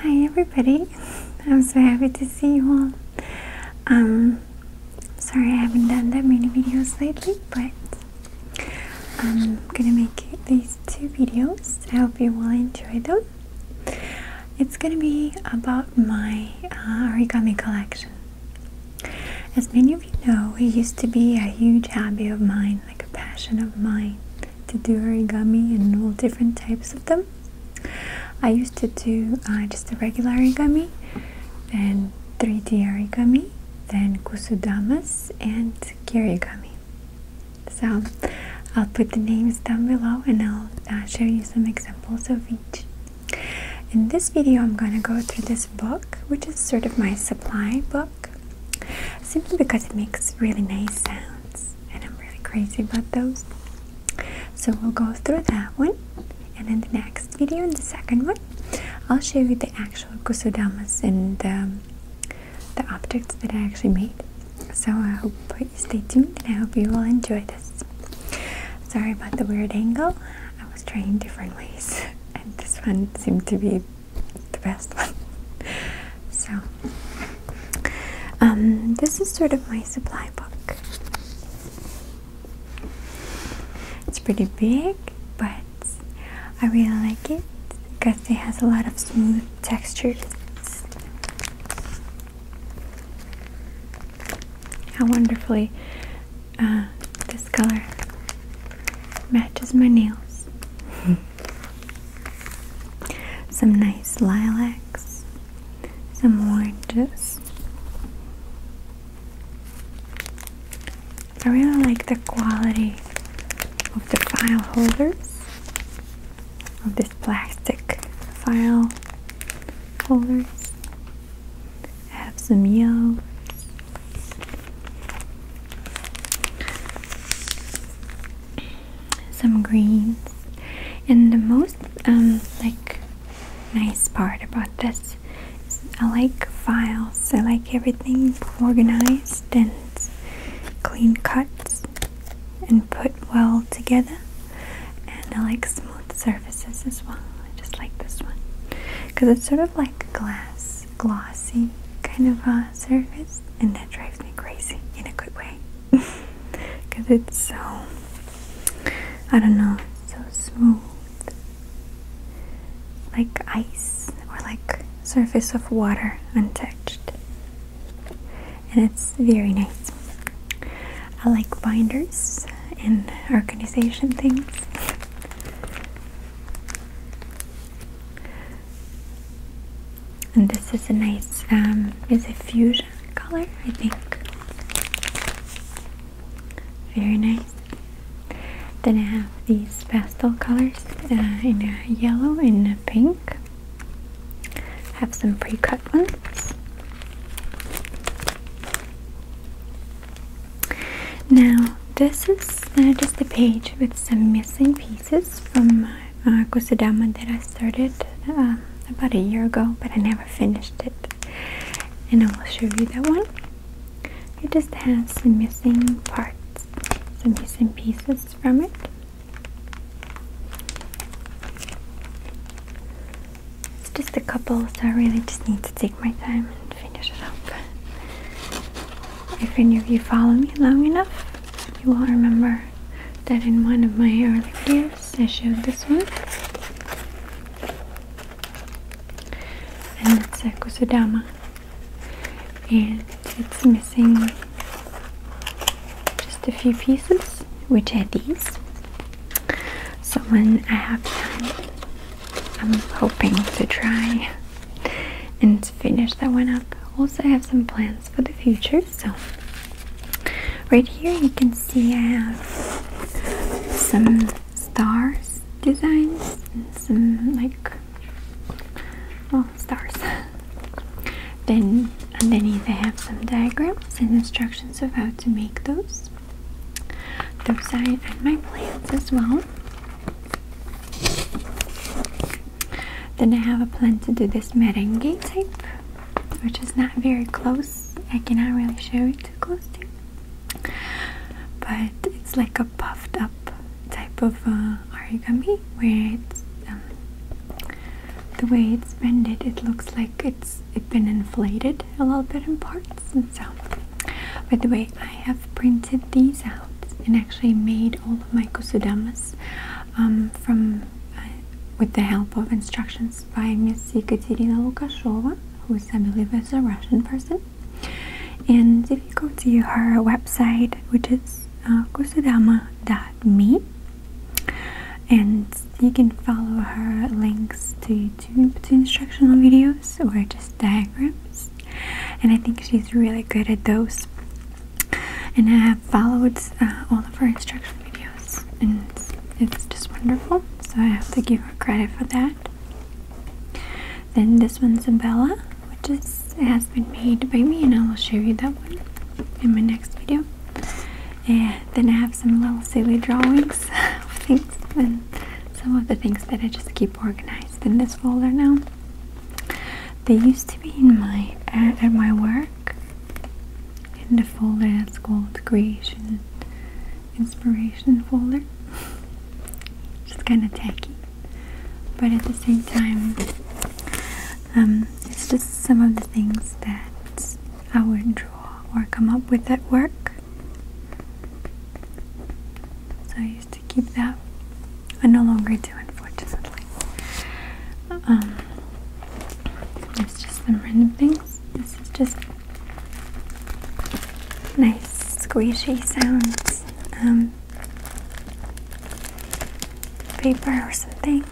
Hi everybody, I'm so happy to see you all. Um, sorry I haven't done that many videos lately, but I'm gonna make these two videos. I hope you will enjoy them. It's gonna be about my uh, origami collection. As many of you know, it used to be a huge hobby of mine like a passion of mine, to do origami and all different types of them. I used to do uh, just a regular origami, then 3 tier origami, then kusudamas, and kirigami. So I'll put the names down below and I'll uh, show you some examples of each. In this video, I'm gonna go through this book, which is sort of my supply book simply because it makes really nice sounds and I'm really crazy about those. So we'll go through that one and in the next video, in the second one, I'll show you the actual gusodamas and the objects that I actually made. So I hope you stay tuned and I hope you will enjoy this. Sorry about the weird angle. I was trying different ways and this one seemed to be the best one. so, um, this is sort of my supply book. It's pretty big, but I really like it because it has a lot of smooth textures. How wonderfully uh, this color matches my nails. some nice lilacs, some oranges. I really like the quality of the file holders, of this plastic file holders. I have some yolks, some greens and the most um, like nice part about this I like files I like everything organized and clean cuts and put well together and I like smooth surfaces as well I just like this one because it's sort of like glass glossy kind of uh, surface, and that drives me crazy in a good way because it's so, I don't know, so smooth like ice or like surface of water untouched and it's very nice I like binders and organization things and this is a nice, um, is a fuchsia color, I think. Very nice. Then I have these pastel colors uh, in yellow and a pink. Have some pre-cut ones. Now this is uh, just a page with some missing pieces from uh, uh Kusudama that I started um, about a year ago, but I never finished it. And I will show you that one. It just has some missing parts, some missing pieces from it. It's just a couple, so I really just need to take my time finish it up. If any of you follow me long enough, you will remember that in one of my early videos I showed this one. And it's a kusudama. And it's missing just a few pieces, which are these. So when I have time, I'm hoping to try and finish that one up. Also, I have some plans for the future. So, right here you can see I have some stars designs and some like well stars. then underneath I have some diagrams and instructions of how to make those. Those are my plans as well. Then I have a plan to do this merengue type, which is not very close. I cannot really show it too close closely, but it's like a puffed up type of uh, origami where it's um, the way it's bended. It looks like it's it's been inflated a little bit in parts, and so. by the way I, have printed these out and actually made all of my kusudamas um, from uh, with the help of instructions by Miss Ekaterina Lukashova, who is, I believe, is a Russian person. And if you go to her website, which is uh, kusudama.me, and you can follow her links to YouTube to instructional videos or just diagrams and I think she's really good at those. And I have followed uh, all of her instruction videos, and it's, just wonderful. So I have to give her credit for that. Then this one's a Bella, which has been made by me, and I will show you that one in my next video. And then I have some little silly drawings of things and some of the things that I just keep organizing organized in this folder now. They used to be in my at my work in the folder that's called creation inspiration folder. It's kind of tacky, but at the same time, um, it's just some of the things that I would draw or come up with at work. So I used to keep that. I no longer do, unfortunately. Um, it's just some random things. This is just nice squishy sounds. Um, paper or something.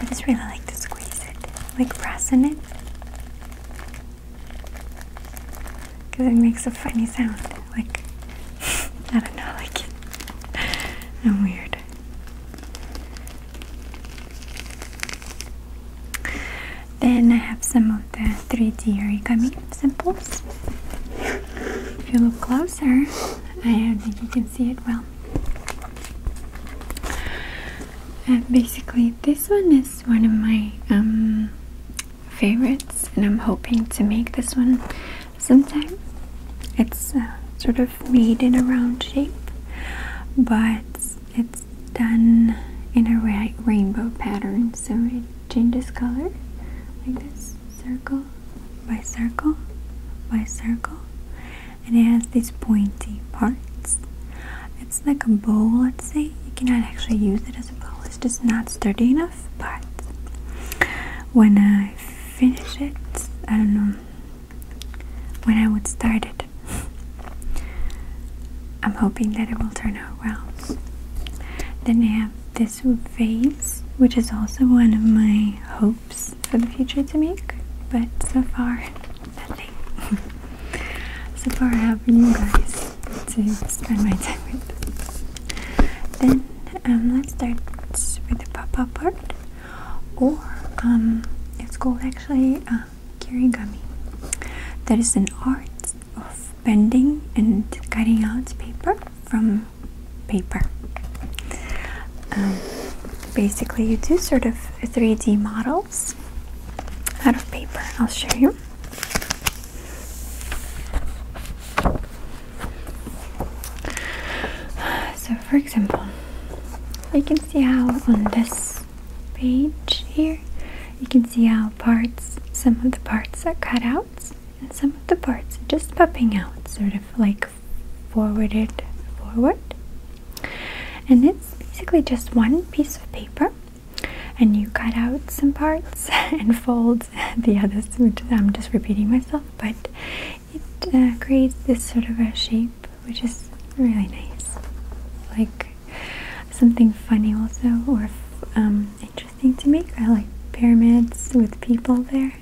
I just really like to squeeze it, like pressing it. Because it makes a funny sound. Like, I don't know, like it. I'm weird. Then I have some of the 3D origami samples. If you look closer, I don't think you can see it well. And uh, basically, this one is is one of my um, favorites, and I'm hoping to make this one sometime. It's uh, sort of made in a round shape, but it's done in a rainbow pattern, so it changes color like this circle by circle by circle, and it has these pointy parts. It's like a bowl, let's say. You cannot actually use it as a bowl. It's just not sturdy enough. But when I finish it, I don't know when I would start it. I'm hoping that it will turn out well. Then I have this vase, which is also one of my hopes for the future to make, but so far nothing. so far I have you guys to spend my time with. Then um, let's start with the pop-up or um, it's called actually uh, kirigami. That is an art of bending and cutting out paper from paper. Um, basically you do sort of a 3D model out of paper. I'll show you. So, for example, you can see how on this page here, you can see how parts, some of the parts are cutouts, and some of the parts are just popping out, sort of like forwarded forward. And it's basically just one piece of paper and you cut out some parts and fold the others. I'm just repeating myself, but it uh, creates this sort of a shape which is really nice, like something funny also or um, interesting to make. I like pyramids with people there.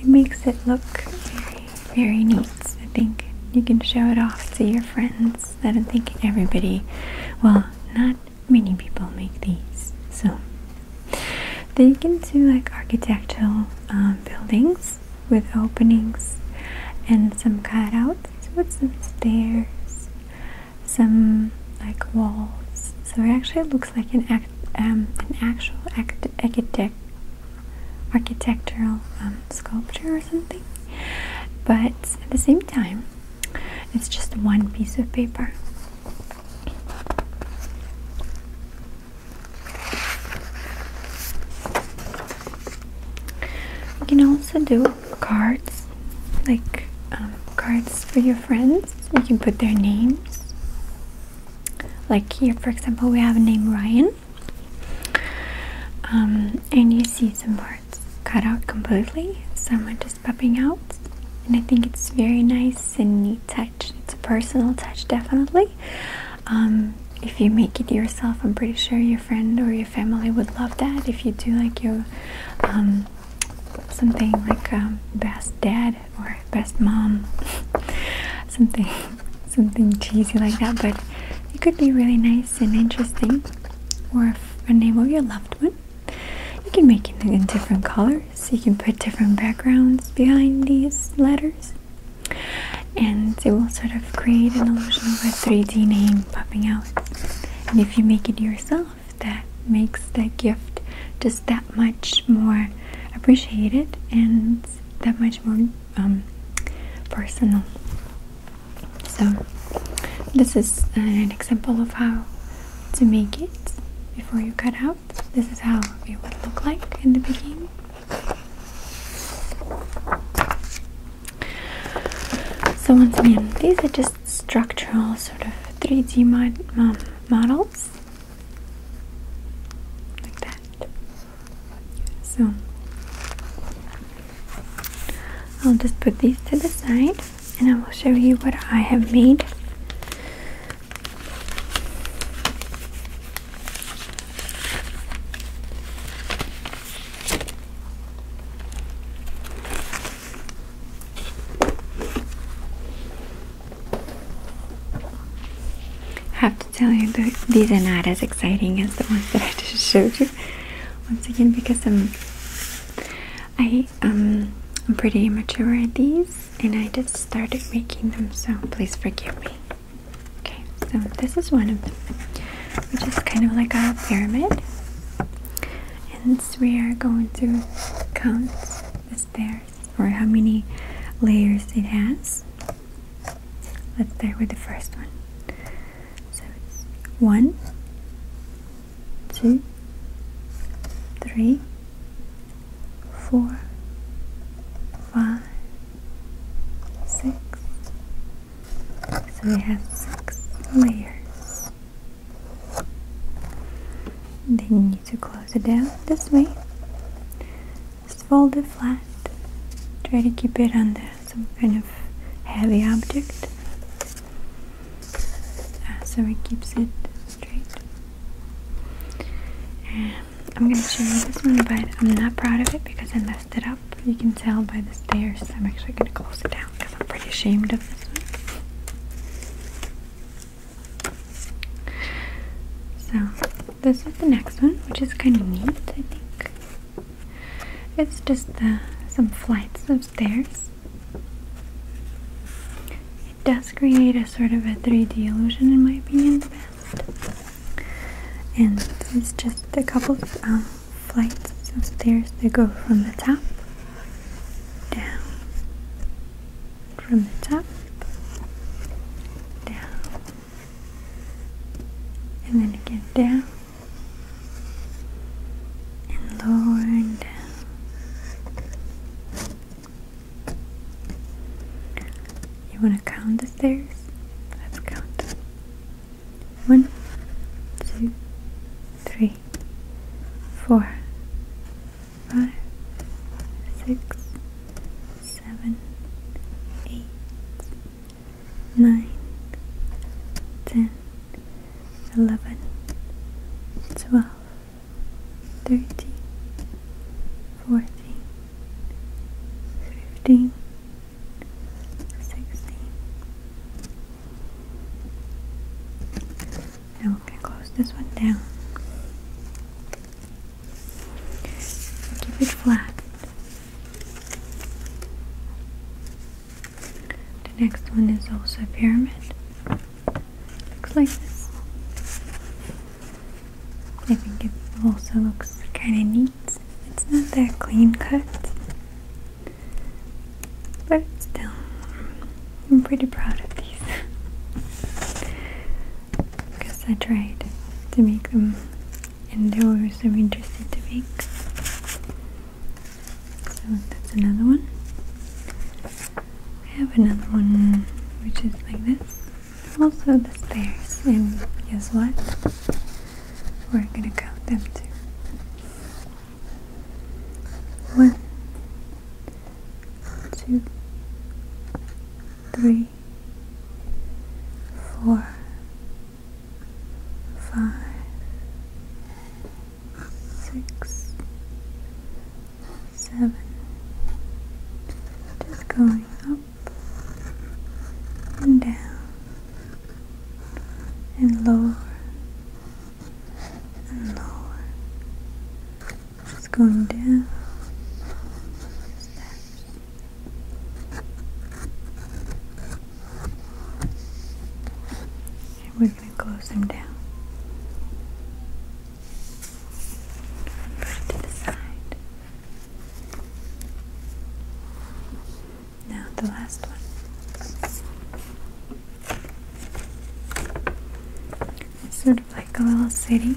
It makes it look very, very neat. I think you can show it off to your friends that I think everybody, well, not many people make these. So then you can do like architectural um, buildings with openings and some cutouts with some stairs, some like walls. So it actually looks like an act, um, an actual act, architectural um, sculpture but at the same time it's just one piece of paper you can also do cards like um, cards for your friends you can put their names like here for example we have a name Ryan um, and you see some parts cut out completely, some are just popping out. And I think it's very nice and neat touch. It's a personal touch, definitely. Um, if you make it yourself, I'm pretty sure your friend or your family would love that. If you do like your um, something like best dad or best mom, something something cheesy like that, but it could be really nice nice and interesting, or a name of your loved one. You can make it in different colors, you can put different backgrounds behind these letters, and it will sort of create an illusion of a 3D name popping out. And if you make it yourself, that makes the gift just that much more appreciated and that much more um, personal. So this is uh, an example of how to make it before you cut out. This is how it would look like in the beginning. So once again, these are just structural sort of 3D models like that. So I'll just put these to the side and I will show you what I have made. Half have to tell you these are not as exciting as the ones that I just showed you. Once again, because I'm, I, um, I'm pretty immature at these, and I just started making them, so please forgive me. Okay, so this is one of them, which is kind of like a pyramid, and we are going to count the stairs or how many layers it has. Let's start with the first one. So it's one, two, three, four, five, six. So we have six layers. Then you need to close it down this way. Just fold it flat. Try to keep it under some kind of heavy object uh, so it keeps it straight. I'm gonna show you this one, but I'm not proud of it because I messed it up. You can tell by the stairs. I'm actually gonna close it down because I'm pretty ashamed of this one. So this is the next one, which is kind of neat, I think. It's just uh, some flights of stairs. It does create a sort of a 3D illusion, in my opinion, And this just a couple of um, flights of stairs that go from the top down, from the top down, and then again down and lower down. You want to count the stairs? Let's count. One, two, three, four, five, six seven, eight, nine, ten, eleven, twelve, thirteen, fourteen, fifteen, sixteen. Now we can close this one down. Keep it flat. The next one is also a pyramid. Looks like this. I think it also looks kind of neat. It's not that clean cut, but still, I'm pretty proud of these. because I tried to make them and there were some interesting to make. So that's another one. I have another one which is like this. Also the stairs and guess what? We're gonna count them too. One, two, three, three, four, five, six, seven. Just going up and down and lower and lower it's going down we're going to close them down. to the side. Now the last one. It's sort of like a little city.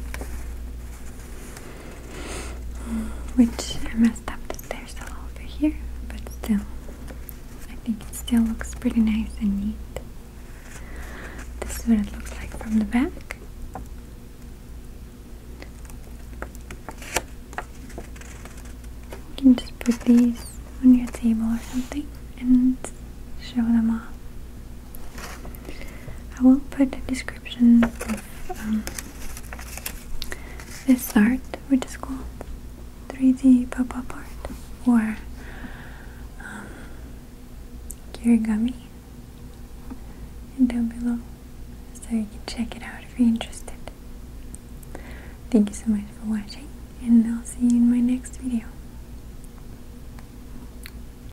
Which I messed up the there's a little over here, but still, I think it still looks pretty nice and neat. This is what it looks like from the back. You can just put these on your table or something and show them off. I will put a description of um, this art, which is called 3D pop-up art or um, kirigami down below so you can check it out if you're interested. Thank you so much for watching and I'll see you in my next video.